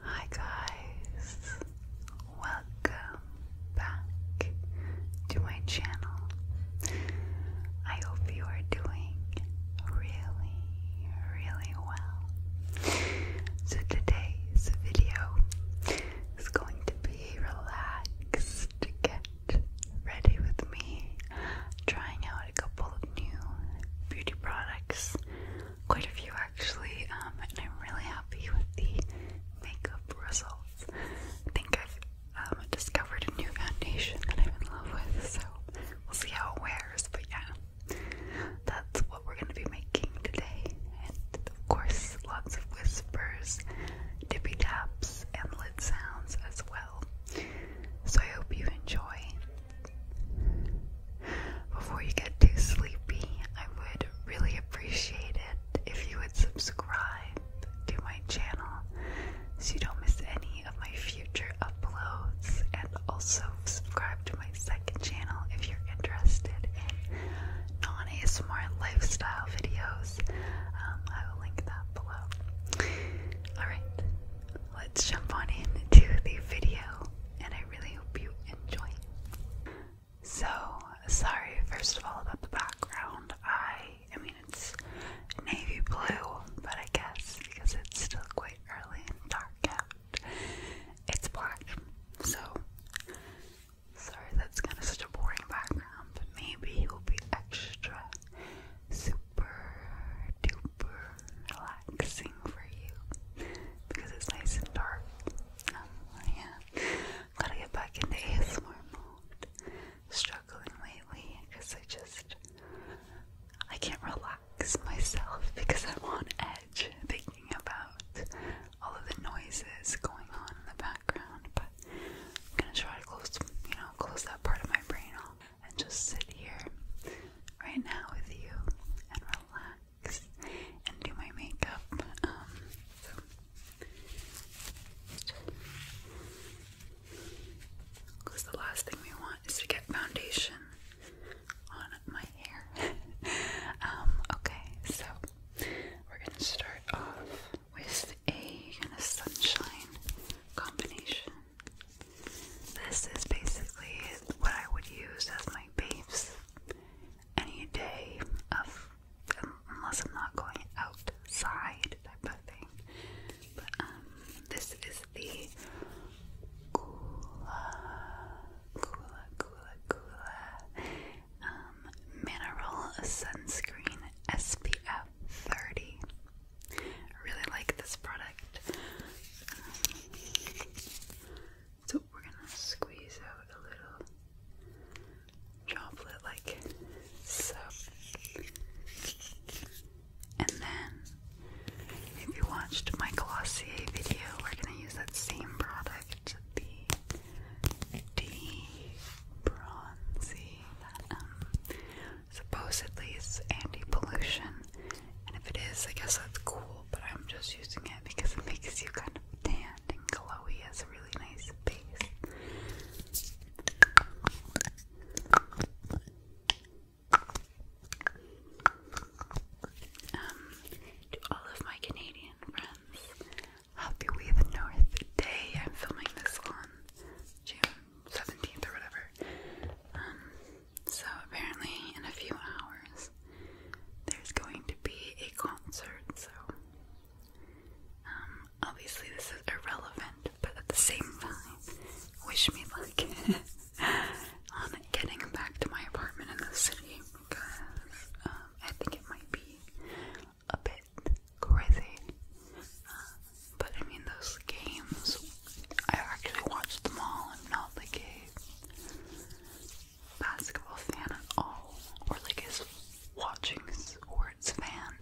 Hi guys, welcome back to my channel. I hope you are doing really, really well. So today's video is going to be relaxed. Get ready with me, trying out a couple of new beauty products quite a few actually, um, and I'm really happy with the makeup results. I think I've um, discovered a new foundation that I'm in love with, so we'll see how it wears, but yeah, that's what we're going to be making today. And of course, lots of whispers, dippy taps, and lid sounds as well. So I hope you enjoy. Before you get too sleepy, I would really appreciate it if you would subscribe to my channel so you don't miss any of my future uploads, and also subscribe to my second channel if you're interested in non smart lifestyle videos. Um, I will link that below. Alright, let's jump on into the video, and I really hope you enjoy so, sorry first of all about the background. I I mean it's navy blue, but I guess because it's still quite early and dark out, it's black. So sorry that's kind of such a boring background, but maybe it will be extra super duper relaxing for you because it's nice and dark. Oh, yeah. Gotta get back into ASMR mode. Struggling lately because I just I can't relax myself because I'm on edge thinking about all of the noises going on in the background. But I'm gonna try to close, you know, close that part of my brain off and just sit here right now with you and relax and do my makeup. Um, so because the last thing we want is to get foundation on my hair. Um, okay, so we're gonna start off with a kind of sunshine combination. This is basically what I would use as my base any day of unless I'm not going outside type of thing. Um, this is the Gula Gula Gula Gula um, mineral sunscreen SPF 30. really like this product. Um, so we're gonna squeeze out a little chocolate like so. And then if you watched my Glossier video, we're gonna use that same product, the D Bronzy um, supposedly it's anti-pollution. And if it is, I guess that's cool, but I'm just using it because it makes you kind of tanned and glowy, has a really nice face. Um, to all of my Canadian friends, happy We North Day. I'm filming this on June 17th or whatever. Um, so apparently in a few hours there's going to be a concert, so um, obviously this is irrelevant, but at the same time, wish me luck on getting back to my apartment in the city because um, I think it might be a bit crazy. Uh, but I mean, those games, I actually watched them all I'm not the game basketball fan at all, or like is watching sports fan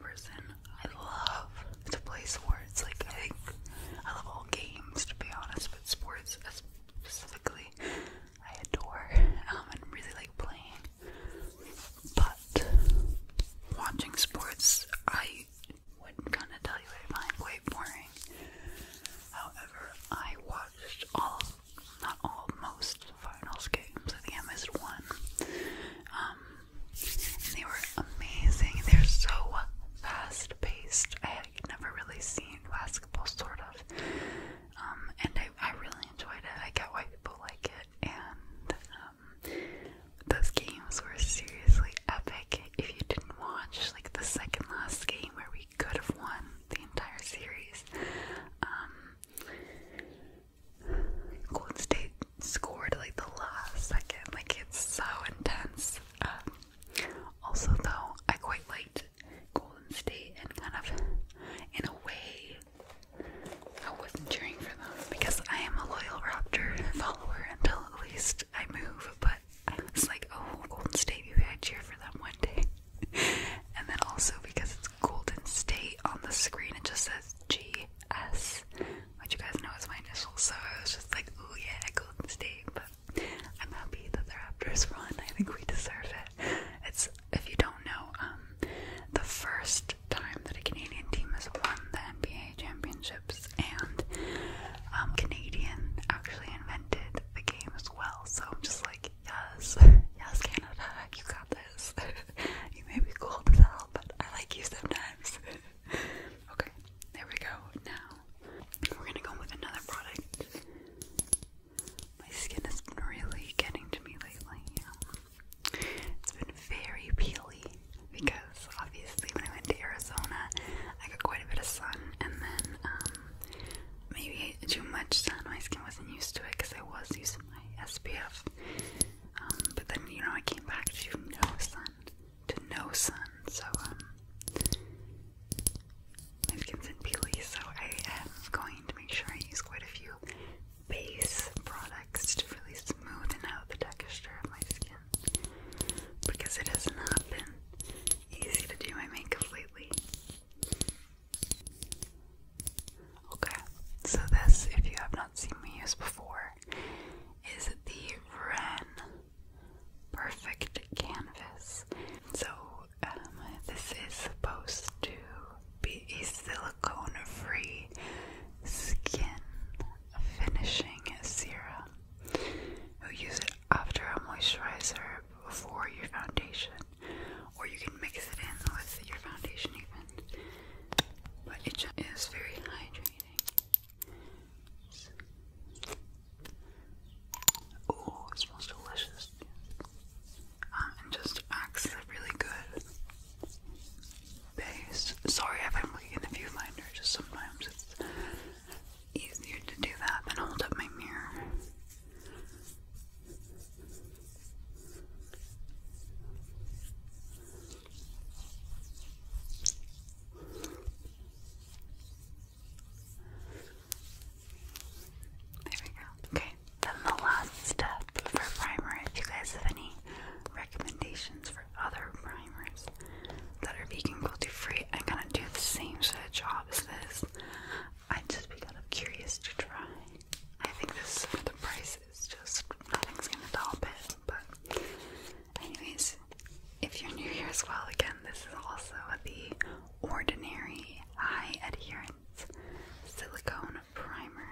person. I love to play sports. Like I think I love all games to be honest, but sports specifically I adore um, and really like playing. But watching sports, I wouldn't kind of tell you I find quite boring. However, I watched all of not all, most finals games. I think I missed one. Um, they were amazing. They're so fast paced. I had never really seen basketball, sort of. Um, and I, I really enjoyed it. I get why people like it. And um, those games were seriously epic. If you didn't watch, like, the second last game where we we could have won the entire series. Um, Golden State scored like the last second. Like it's so intense. Um, also, though, I quite liked Golden State and kind of, in a way, I wasn't cheering for them because I am a loyal Raptor follower until at least I move. But I was like, oh, Golden State, maybe I cheer for them one day. and then also because it's Golden State on the screen, it just says GS, which you guys know is my initials. So I was just like, oh yeah, Golden State. But I'm happy that the Raptors won. I think we deserve it. It's if you don't know, um, the first time that a Canadian team has won the NBA championships, and um, Canadian actually invented the game as well. So I'm just like, yes, yes, Canada, you got this. you may be cold as hell, but I like you sometimes. okay, there we go. Now we're gonna go with another product. My skin has really getting to me lately. It's been very peely because obviously when I went to Arizona, I got quite a bit of sun, and then um, maybe too much sun. My skin wasn't used to it because I was using my SPF. Um, but then you know I came back to no sun, to no sun. So um, my skin's in peely, so I am going to make sure I use quite a few base products to really smoothen out the texture of my skin because it has not been easy to do my makeup lately. Okay, so this, if you have not seen me use before, is the Ren Perfect Canvas. So, um, this is supposed to be a silicone free skin finishing serum. You'll use it after a moisturizer before your foundation or you can mix it in with your foundation even. But it just is very hydrating. So. Oh, it smells delicious. Um, and just acts as a really good base. Sorry if I'm looking in the viewfinder, just sometimes it's easier to do that than hold up my mirror. There we go. Okay, then the last step for primer, if you guys have any recommendations for other primers that are vegan, cruelty free, I'm gonna do the same sort of job as this i just be curious to try. I think this the price is just nothing's gonna top it. But anyways, if you're new here as well, again, this is also the ordinary high adherence silicone primer.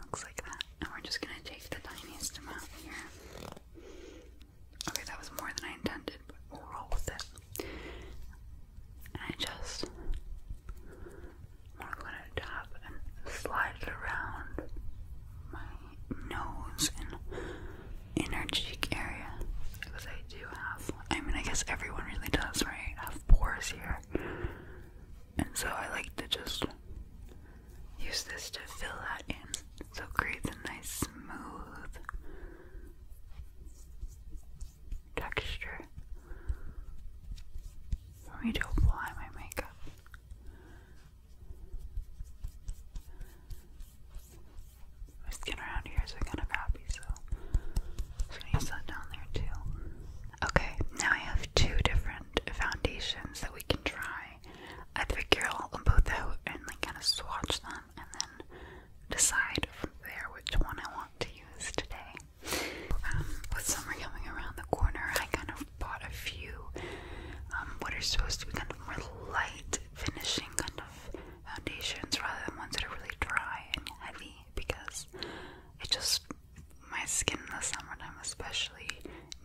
Looks like that. And we're just gonna take the tiniest amount here. Okay, that was more than I intended, but we'll roll with it. And I just want to go to the and slide it around my nose and inner cheek area. Because I do have, I mean, I guess everyone really does, right? have pores here. And so I like to just use this to fill that in. So create creates a nice smooth texture for me to apply my makeup. My skin around here is kind of crappy, so I'm gonna use that down there too. Okay, now I have two different foundations that we can try. I figure i both out and like kind of swatch them and then decide from there which one I want to use today. Um, with summer coming around the corner, I kind of bought a few um, what are supposed to be kind of more light finishing kind of foundations rather than ones that are really dry and heavy because it just my skin in the summertime especially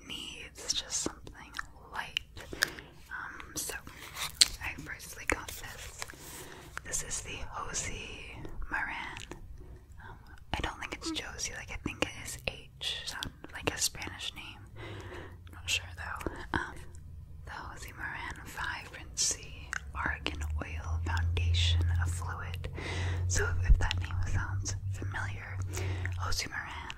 needs just something light. Um, so I personally got this this is the Josie Maran. Um, I don't think it's Josie, like I think it is H, like a Spanish name. not sure though. Um, the Josie Maran Vibrancy Argan Oil Foundation of Fluid. So if, that name sounds familiar, Josie Maran,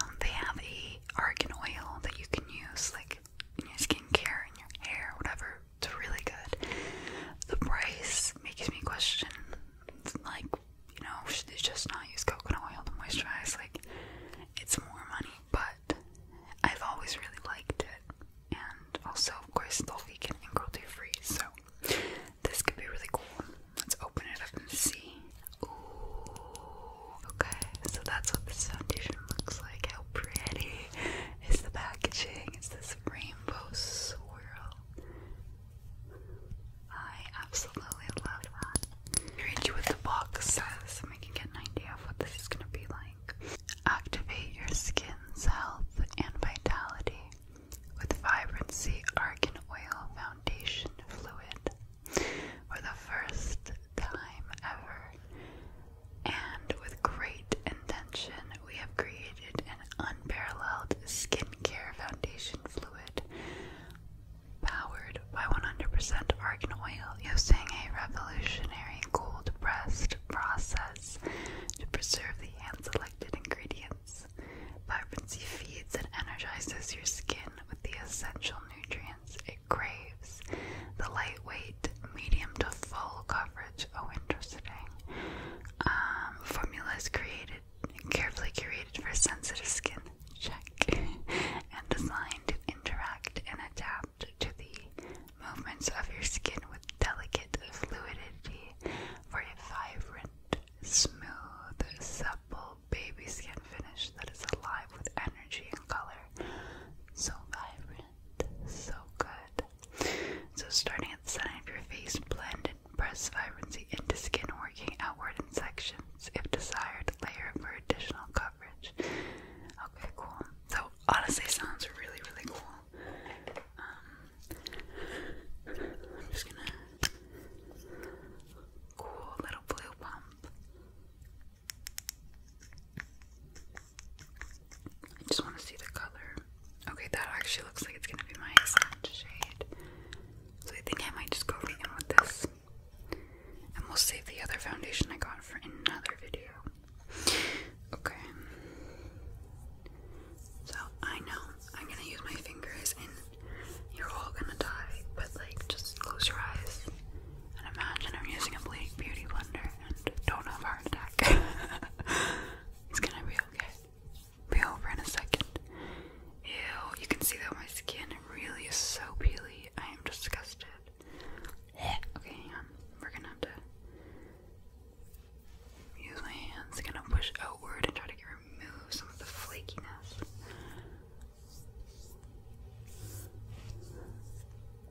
um, they have a argan oil that you can use like in your skincare, in your hair, whatever. It's really good. The price makes me question, like, you know, should they just not use coconut oil to moisturize? Like, it's more money, but I've always really liked it. And also, of course, it's all vegan and cruelty free, so this could be really cool. Let's open it up and see. Ooh, okay, so that's what this foundation looks like. How pretty! It's the packaging, it's this rainbow swirl. I absolutely love that. read you what the box says and we can get an idea of what this is gonna be like. Activate your skin's health and vitality with vibrancy argan oil foundation fluid for the first time ever. And with great intention, we have created an unparalleled skincare foundation fluid powered by 100% argan oil using a revolutionary cold pressed process to preserve the hand selected ingredients. Vibrancy feeds and energizes your skin with the essential nutrients it the lightweight, medium to full coverage a oh, winter setting. Um, formulas created carefully curated for sensitive skin, check, and designed to interact and adapt to the movements of your skin with delicate fluidity for a vibrant, smooth, supple baby skin finish that is alive with energy and color. So vibrant. So good. So starting at the center of your face, blend and press vibrancy into skin, working outward in sections, if desired, layer for additional coverage. Okay, cool. So honestly, sounds really, really cool. Um, I'm just gonna cool little blue pump. I just want to see the color. Okay, that actually looks like it's gonna be my accent shade. So I think I might just go right in with this. And we'll save the other foundation I got for another video. Okay. So I know I'm gonna use my fingers and you're all gonna die, but like just close your eyes and imagine I'm using a Blake Beauty blender and don't have a heart attack. it's gonna be okay. Be over in a second. Ew, you can see that my skin really is so peely. I am disgusted. Okay, hang We're gonna have to use my hands. Gonna push outward and try to remove some of the flakiness.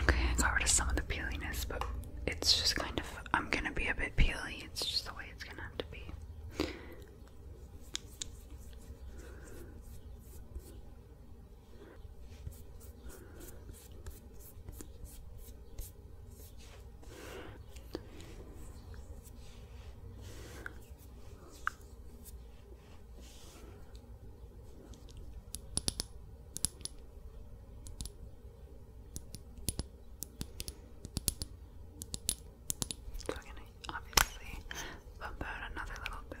Okay, I got rid of some of the peeliness, but it's just kind of, I'm gonna be a bit peely, it's just the way it's gonna have to be. So I'm gonna obviously bump out another little bit.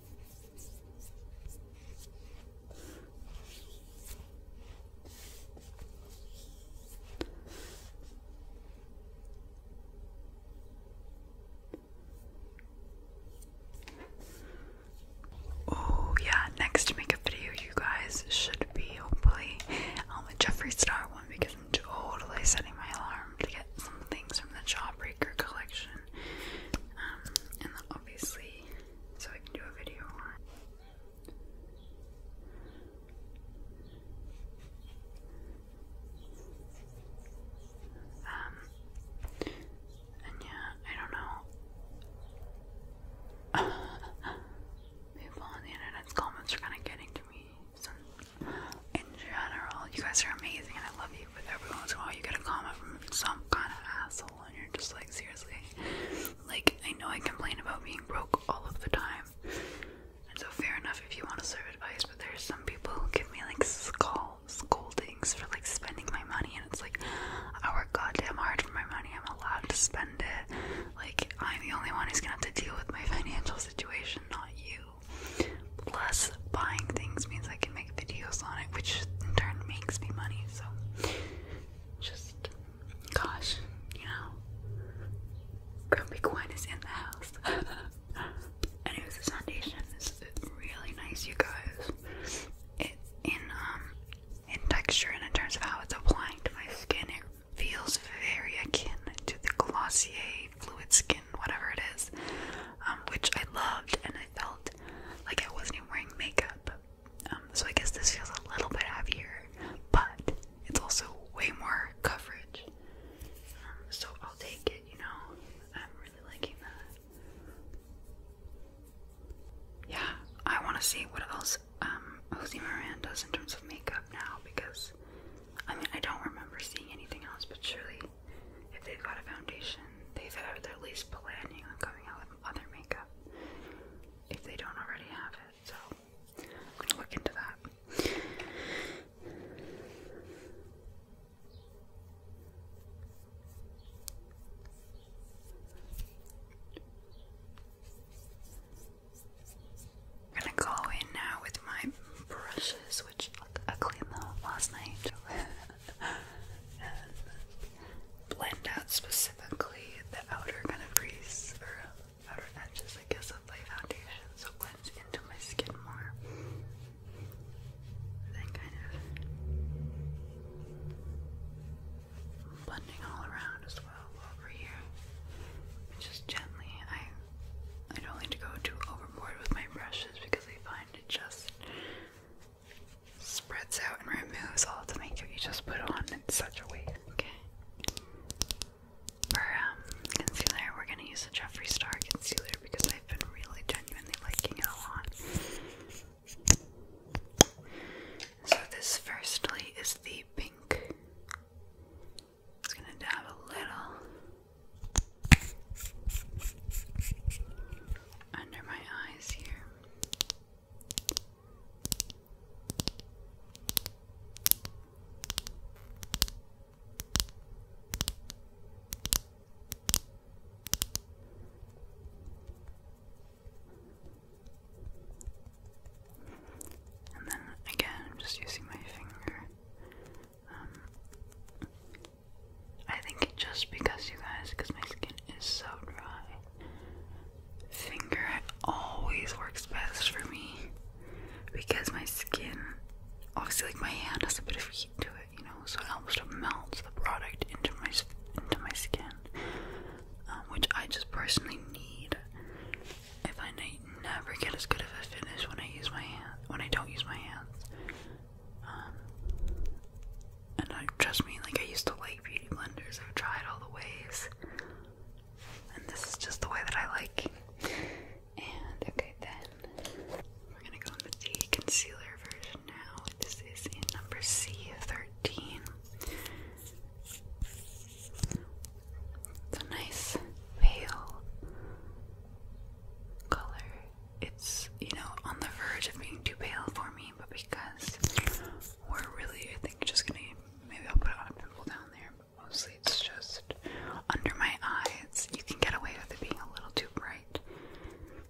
Oh, yeah, next makeup video, you guys should be hopefully um, a Jeffree Star one because I'm totally setting my alarm to get some things from the Jawbreaker collection. Um, obviously, so I can do a video on Um, and yeah, I don't know. People on the internet's comments are kind of getting to me. in general, you guys are amazing and I love you, but every once in a while you get a comment from some kind of asshole and you're just like, seriously? Like, I know I complain about being broke all of the time. And so, fair enough if you want to serve advice, but there's some people who give me like skull scoldings for like spending my money, and it's like, I work goddamn hard for my money, I'm allowed to spend it. Like, I'm the only one who's gonna have to deal with my financial situation, not you. Plus, buying things means I can make videos on it, which in turn makes me money. So, just gosh, you know, Grumpy Gwen is in the house. Anyways, this foundation is really nice, you guys. It's in um in texture and in terms of how it's applying to my skin, it feels very akin to the Glossier Fluid Skin, whatever it is, um, which I loved and I felt like I wasn't even wearing makeup. Um, so I guess this feels a little bit heavier, but it's also way more coverage. Um, so I'll take it, you know. I'm really liking that. Yeah, I want to see what else um, Miranda does in terms of makeup now because I mean, I don't remember seeing anything else, but surely if they've got a foundation they've had at least planning on coming out with other makeup if they don't already have it. So I'm gonna look into that. I'm gonna go in now with my brushes, which I cleaned them last night. blend out specifically the outer kind of crease or outer edges, I guess, of my foundation so it blends into my skin more. Then kind of blending all around as well over here. Just gently. I I don't like to go too overboard with my brushes because I find it just spreads out and removes all the makeup you just put on in such a way. Okay. For um, concealer, we're gonna use the Jeffree Star concealer because I've been really genuinely liking it a lot. So this firstly is the pink. Just gonna dab a little under my eyes here. And then again, just using my finger. Um, I think just because you guys, because my skin is so dry, finger always works best for me because my skin, obviously, like my hand has a bit of heat to it, you know, so it helps to melt the product into my into my skin, um, which I just personally need. I find I never get as good of a finish when I use my hand when I don't use my hands. Um, and I trust me, like I used to like beauty blenders. I've tried all the ways. And this is just the way that I like. And okay then we're gonna go into the concealer version now. This is in number C thirteen. It's a nice pale color. It's, you know, on the verge of being too pale for me but because we're really, I think, just gonna maybe I'll put on a pimple down there, but mostly it's just under my eyes. You can get away with it being a little too bright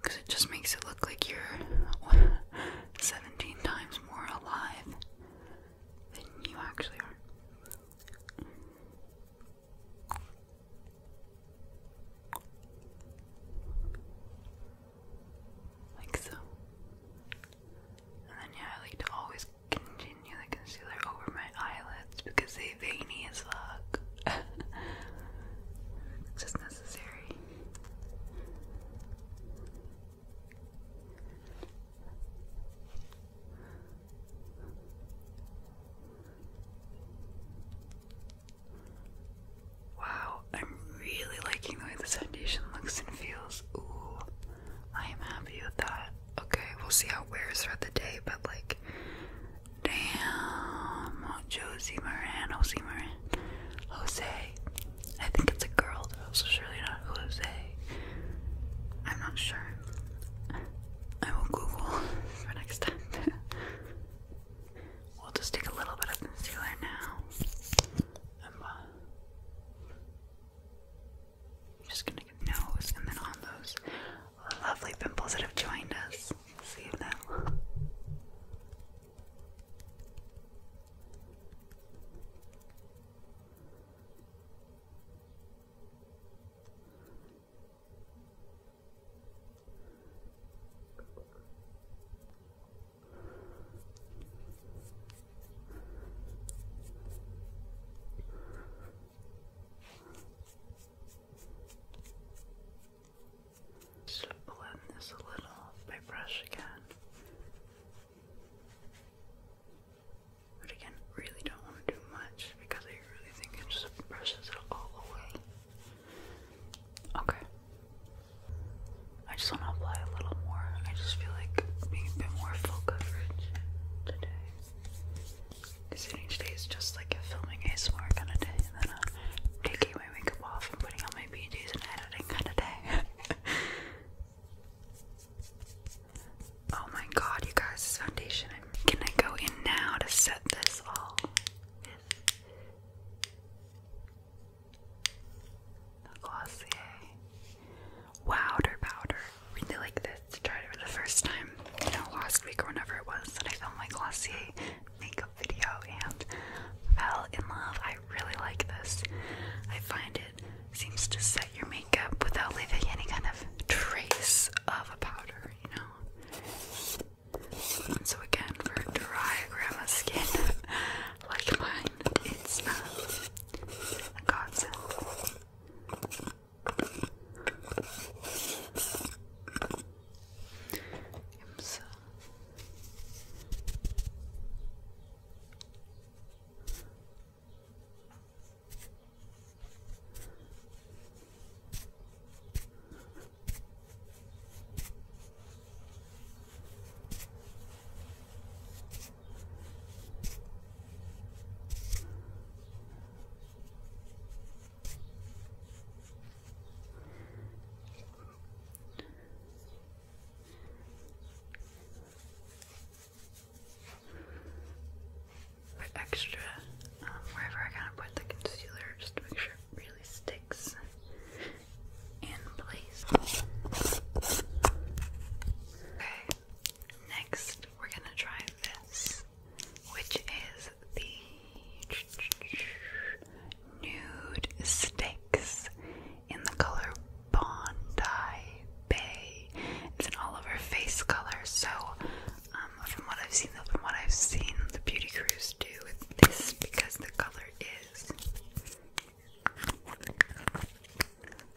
because it just makes it look like you're 17 times more alive than you actually are like so. And then yeah, I like to always continue the concealer over my eyelids because they veiny as fuck. just necessary. Wow, I'm really liking the way the foundation looks and feels. Ooh, I am happy with that. Okay, we'll see how it wears throughout the day, but like, damn, Josie Moran, Jose Moran, Jose. I think it's a girl, though, so surely not Jose. I'm not sure. I will Google for next time. We'll just take a little bit of concealer now. Uh, I'm just gonna get nose and then on those lovely pimples that have joined us. See now. Just blend this a little off brush again. But again, really don't want to do much because I really think it just brushes it all away. Okay. I just want to apply a little more. I just feel like being a bit more full coverage today. Because each is just like a filming ASMR kind of day, and then uh, taking my makeup off and putting on my PJs and editing kind of day. oh my god, you guys, foundation. I'm gonna go in now to set this all. The Glossier Wowder Powder. Really like this. I tried it for the first time, you know, last week or whenever it was that I filmed my Glossier makeup video and fell in love. I really like this. I find it seems to set your makeup without leaving any kind of trace of a powder, you know. so again, for dry grandma skin, like mine, it's um, a godsend. Oops. Put extra um, wherever I kind of put the concealer just to make sure really sticks in place. Okay, next we're gonna try this, which is the nude stakes in the color Bondi Bay. It's an all over face color, so um, from what I've seen, from what I've seen, the beauty crews do with this because the color is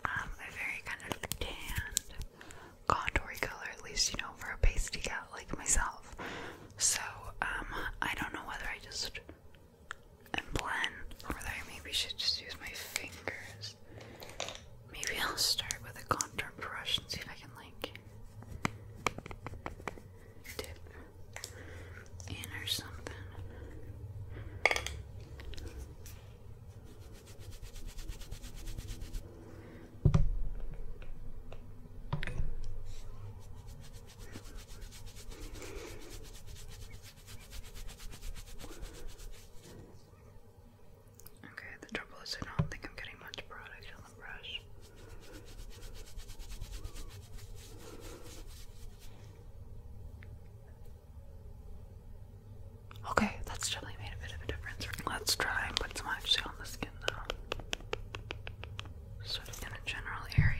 um, a very kind of tanned contoury color, at least, you know, for a pasty gal like myself. So, um, I don't know whether I just am blend or whether I should just use my fingers. Maybe I'll start with a contour brush and see if I can, like, dip in or something. Okay, the trouble is, I don't think I'm getting much product on the brush. Okay, that's definitely made a bit of a difference. Let's try and put some actually on the skin though. Sort of in a general area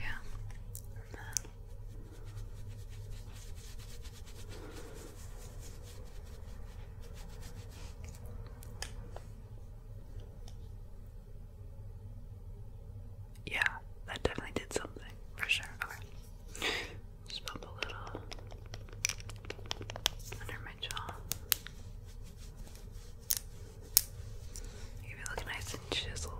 yeah, that definitely did something for sure. Okay, just pump a little under my jaw. You look nice and chiseled.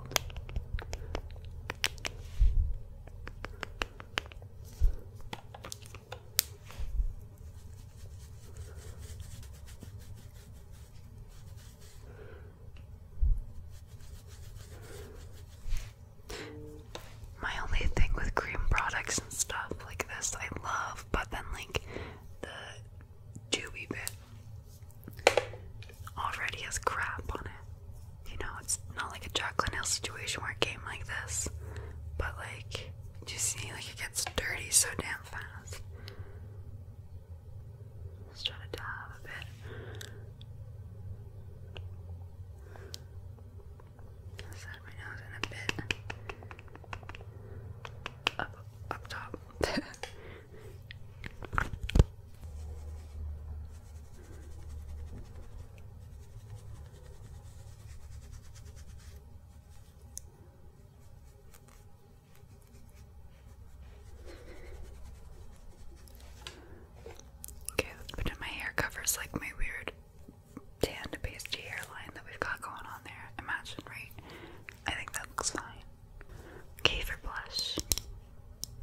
My only thing with cream products and stuff like this I love, but then like the dewy bit already has crap on it. You know, it's not like a Jacqueline Hill situation where a game like this, but like you see like it gets dirty so damn fast. Let's try to dive a bit. I my nose in a bit up up top. Okay, let's my hair covers like my weird tan to pasty hairline that we've got going on there. Imagine, right? I think that looks fine. Okay, for blush,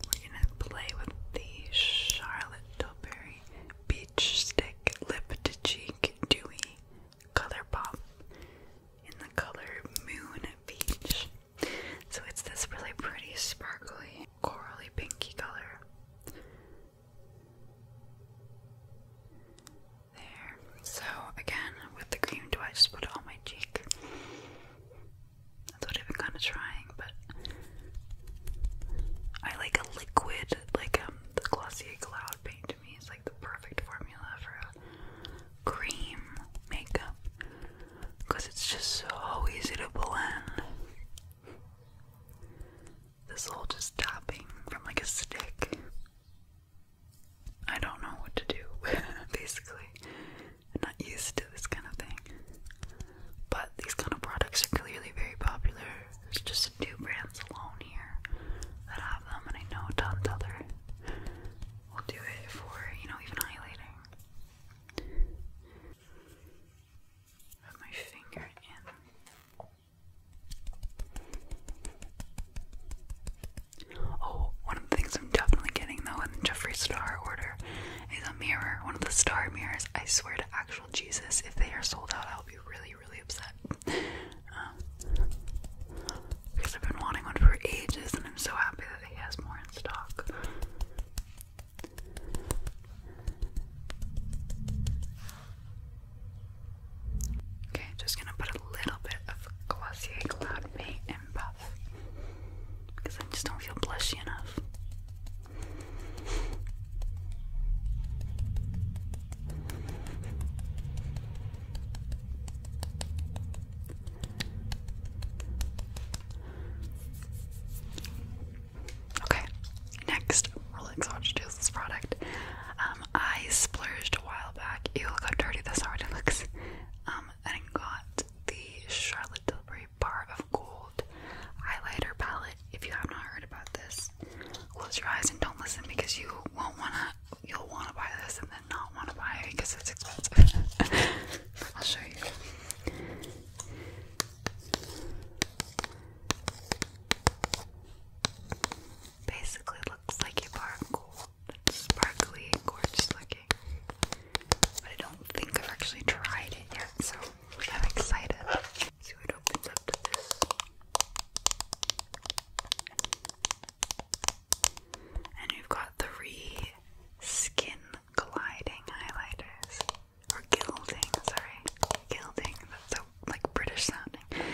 we're gonna play with the Charlotte Tilbury Beach Stick Lip to Cheek Dewy Color Pop in the color Moon Beach. So it's this really pretty, sparkly, corally pinky color. There. So again, with the cream, do I just put it on my cheek? That's what I've been kind of trying, but I like a liquid, like um, the Glossier Cloud paint to me is like the perfect formula for cream makeup because it's just so easy to blend. This whole just tapping from like a stick. I don't know what to do, basically. I'm not used to this kind of thing. But these kind of products are clearly very popular. There's just a two brands alone here that have them, and I know tons other will do it for, you know, even highlighting. Oh, one of the things I'm definitely getting though in the Star order is a mirror, one of the star mirrors. I swear to actual Jesus, if they are sold out, I'll be really, really upset. Um, because I've been wanting one for ages and I'm so happy that he has more in stock. Okay, just gonna put a little bit of Glossier Cloud Paint and Buff because I just don't feel blushy enough. Okay, next um, I splurged a while back. Ew, look how dirty this already looks. Um, and got the Charlotte Tilbury Bar of Gold highlighter palette. If you have not heard about this, close your eyes and don't listen because you won't wanna. You'll wanna buy this and then not wanna buy it because it's expensive. I'll show you. Basically looks like a bar gold. It's sparkly gorgeous looking. But I don't think I've actually tried it yet, so I'm excited. See what opens up And we've got three skin gliding highlighters or gilding, sorry, gilding, that's a like British sounding.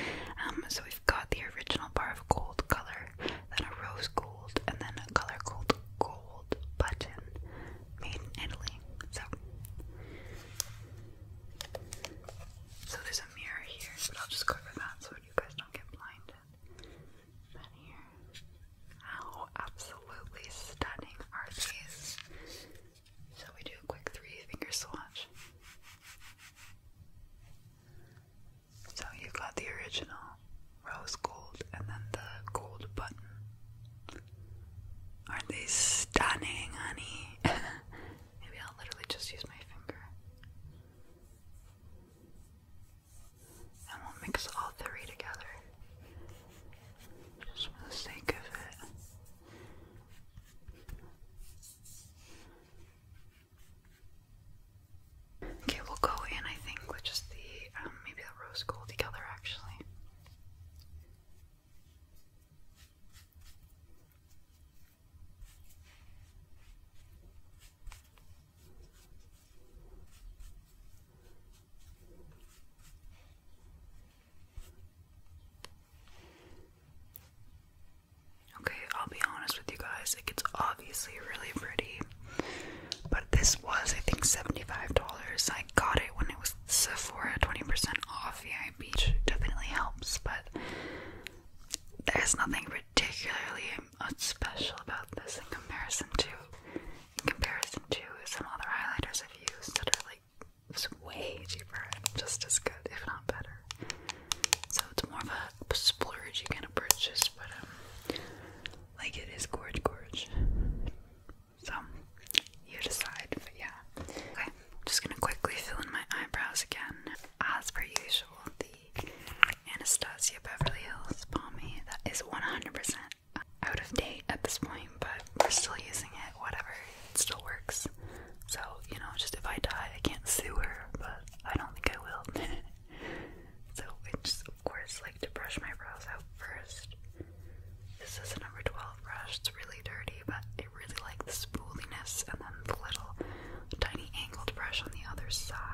Um, so we've got the original bar of gold color, then a rose gold, and then a color gold gold button made in Italy. So, so there's a mirror here, but I'll just cover that so you guys don't get blinded. That here, how absolutely stunning are these? Shall we do a quick three finger swatch? So you got the original rose gold and then the gold button. Aren't these stunning, honey? Maybe I'll literally just use my finger. And we'll mix all three together. Just for the sake of it. Okay, we'll go in, I think, with just the, um, maybe the rose gold together, actually. Okay, I'll be honest with you guys, like it's obviously really pretty. But this was I think $75. I got it when it was Sephora 20% off. Yeah, beach definitely helps, but there's nothing particularly uh, special about this in comparison to in comparison to some other highlighters I've used that are it's way cheaper and just as good, if not better. So it's more of a splurge you kind of purchase, but um, like it is gorge gorge. So you decide, but yeah. Okay, I'm just gonna quickly fill in my eyebrows again. As per usual, the Anastasia Beverly Hills Balmy that is 100% out of date at this point, but we're still using it, whatever, it still works. So, you know, just if I die, I can't sue her, but I don't think I will. so, I just, of course, like to brush my brows out first. This is a number 12 brush, it's really dirty, but I really like the smoothiness and then the little tiny angled brush on the other side.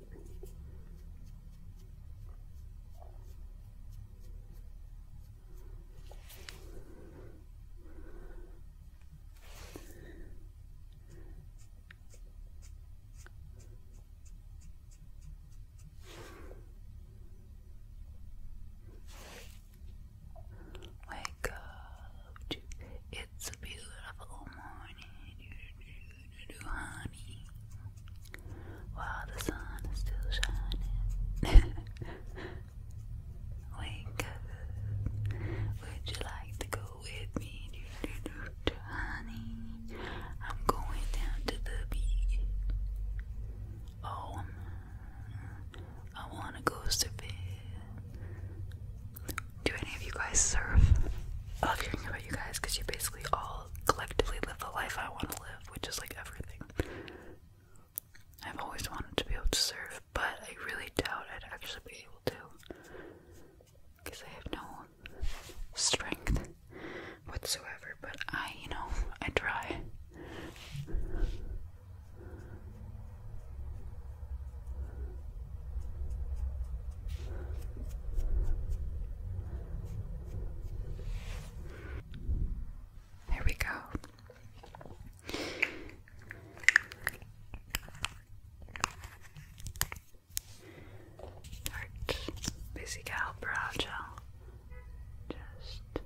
Wake up! It's a beautiful morning honey while the sun is still shining. Wake up, would you like to go with me? honey, I'm going down to the beach. Oh, mm, I want to go surfing. Do any of you guys surf? love hearing about you guys you basically all collectively live the life I want to live, which is like everything. I've always wanted to be able to serve, but I really doubt I'd actually be able to because I have no strength whatsoever. But I, you know, I try. There we go. Alright, basic gal brow gel. Just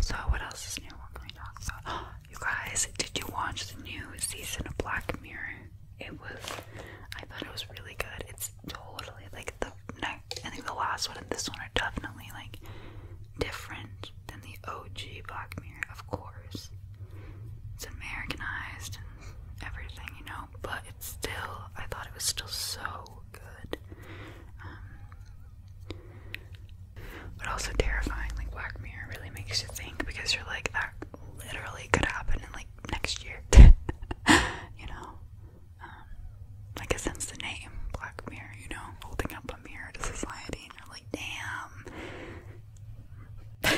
so, what else is new? What can we talk about? you guys, did you watch the new season of Black Mirror? It was, I thought it was really good. It's totally like the next, I think the last one and this one are definitely like different than the OG Black Mirror, of course. It's Americanized everything, you know, but it's still, I thought it was still so good. Um, but also terrifying, like Black Mirror really makes you think because you're like, that literally could happen in like next year, you know? Um, like, it sends the name Black Mirror, you know, holding up a mirror to society, and you're like, damn, okay,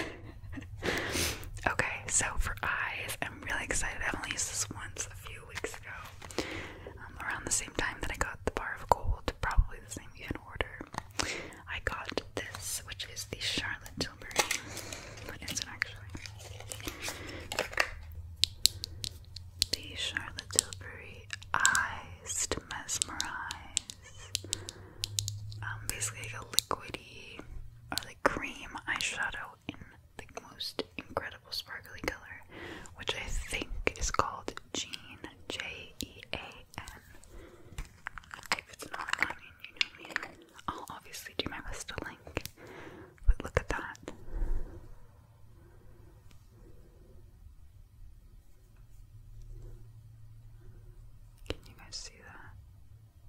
so for eyes, I'm really excited. I've only used this once a few weeks ago, um, around the same time that I got the bar of gold, probably the same even order. I got this, which is the Charlotte Tilbury. What is it actually? The Charlotte Tilbury Eyes to Mesmerize. Um, basically like a liquidy or like cream eyeshadow in the most incredible sparkly color, which I think is called Jean J E A N. If it's not, I mean, you know me. I'll obviously do my best to link, but look at that. Can you guys see that?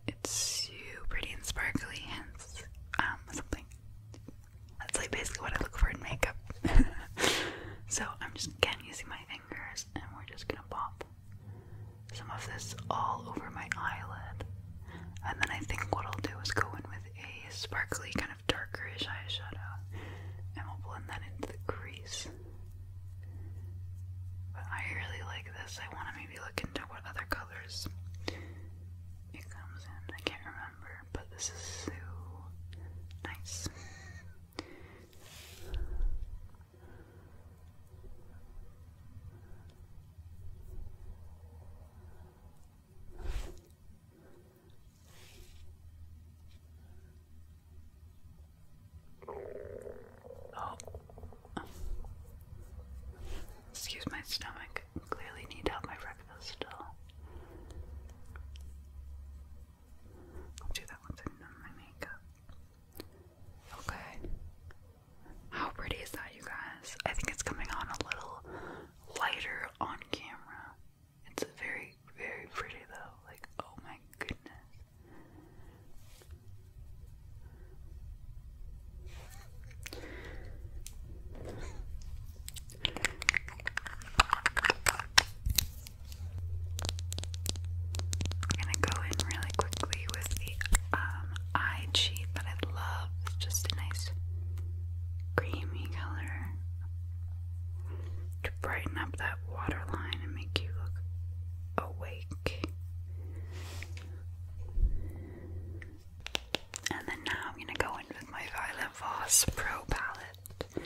it's so pretty and sparkly, and um, something. That's like basically what I look for in makeup. so I'm just again using my fingers, and we're just gonna pop some of this all over my eyelid. And then I think what I'll do is go in with a sparkly, kind of darkerish eyeshadow, and we'll blend that into the crease. But I really like this. I want to maybe look into what other colors it comes in. I can't remember, but this is so nice. Oh. Excuse my stomach. Clearly need to help my breakfast still. I'll do that once I've done my makeup. Okay. How pretty is that, you guys? I think it's coming on a little lighter on camera. It's very, very pretty though. Like, oh my goodness. I'm gonna go in really quickly with the um, eye cheat that I love. It's just a nice creamy color to brighten up that waterline and make you look awake. And then now I'm gonna go in with my Violet Voss Pro palette,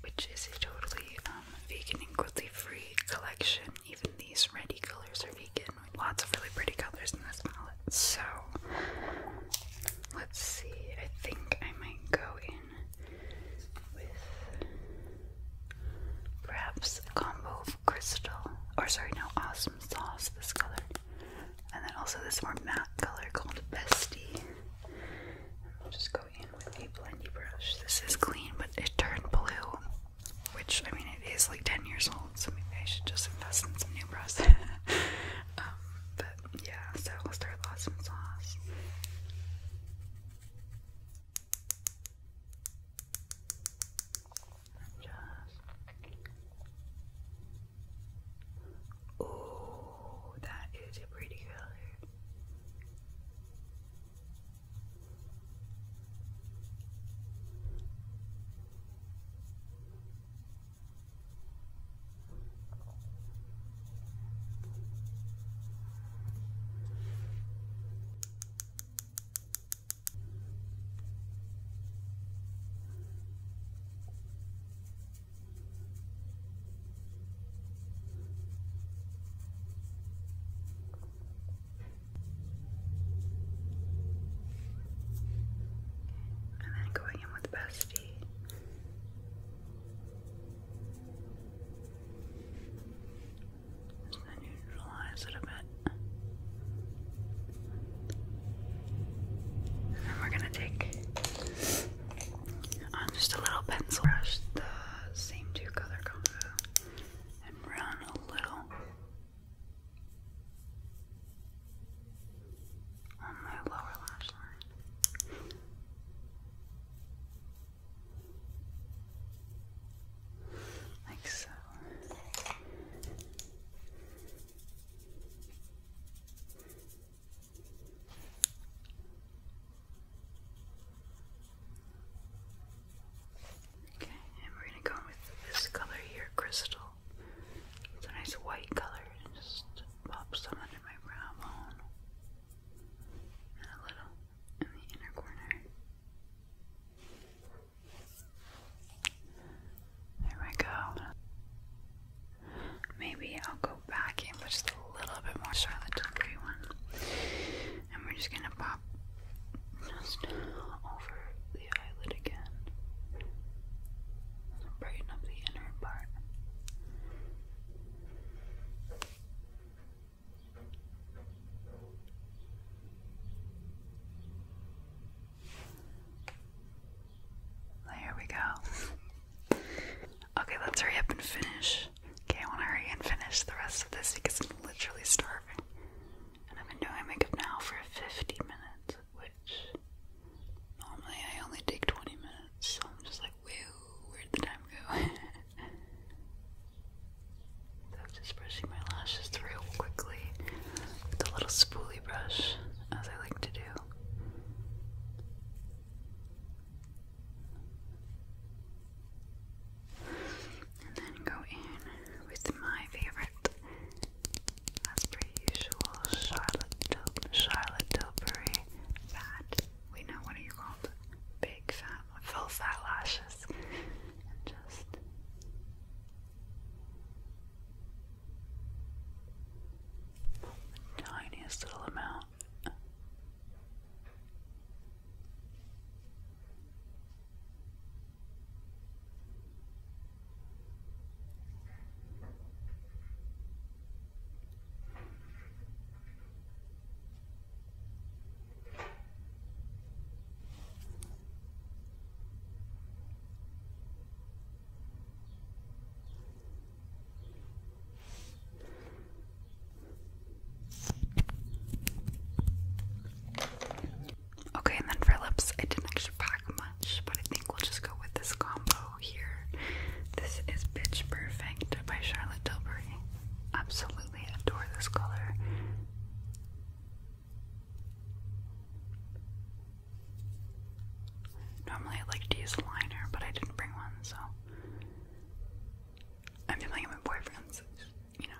which is a totally um, vegan and cruelty-free collection. Even these ready colors are vegan. Lots of really pretty colors in this palette. So let's see. I think I might go in with perhaps a combo of crystal, or sorry, no, awesome sauce, this color. And then also this more matte color called Bestie. just go in with a blendy brush. This is clean, but it turned blue, which I mean, it is like 10 years old, so maybe I should just invest in some new brushes. Um, but yeah, so we'll start with awesome sauce and just oh that is a pretty color and then going in with Bestie and neutralize it a bit. And we're gonna take um, just a little pencil brush, the same two color combo, and run a little on my lower lash line. Like so. Okay, and we're gonna go with this color here, crystal. It's a nice white color, and just pop some under my brow bone, and a little in the inner corner. There we go. Maybe I'll go back in with just a little bit more Charlotte Tilbury one. And we're just gonna pop just over the eyelid again. Brighten up the inner part. There we go. Okay, let's hurry up and finish. Okay, I want to hurry and finish the rest of this because I'm literally starving. And I've been doing makeup now for 50 minutes, which normally I only take 20 minutes, so I'm just like, where'd the time go? I'm just brushing my lashes real quickly with a little spoolie brush, as I like to do. And then go in with my favorite, as per usual, Charlotte Tilbury fat. We know what are you called? Big fat, full fat lashes, and just the tiniest little amount. Okay, and then for lips, I didn't actually pack much, but I think we'll just go with this combo here. This is Bitch Perfect by Charlotte Tilbury. Absolutely adore this color. Normally I like to use liner, but I didn't bring one, so I'm doing it with my boyfriend's, you know.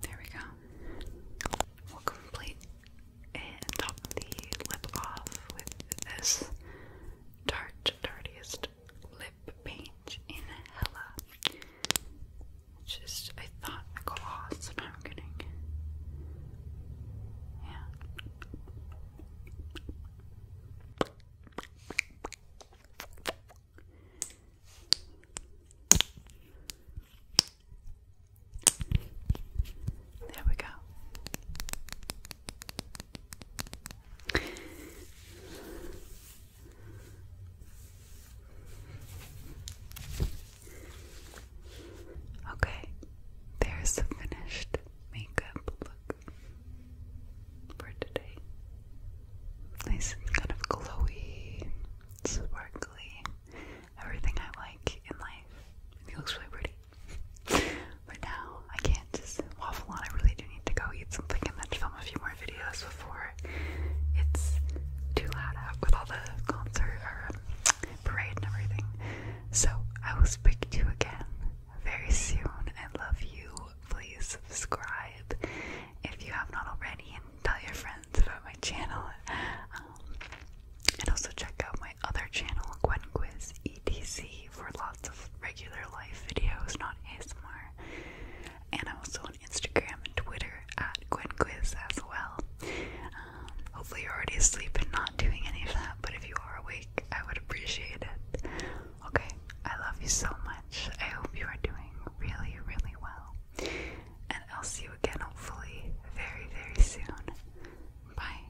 There we go. We'll complete and top the lip off with this Tarte Dirtiest Lip Paint in Hella. just, I thought gloss, I'm getting. Yeah. There we go. Okay, there's the finished makeup look for today. Nice kind of glowy sparkly, everything I like in life. It looks really pretty. but now I can't just waffle on. I really do need to go eat something and then film a few more videos before it's too loud out with all the concert or um, parade and everything. So I will speak to you again very soon. I love you. Please subscribe if you have not already and tell your friends friends about my channel. Um, and also check out my other channel, Gwen Quiz EDC, for lots of regular life videos, not ASMR. And I'm also on Instagram and Twitter at Gwen Quiz as well. Um, hopefully, you're already asleep and not doing any of that, but if you are awake, I would appreciate it. Okay, I love you so much. I hope you are doing really, really well and I'll see you again hopefully very, very soon. Bye.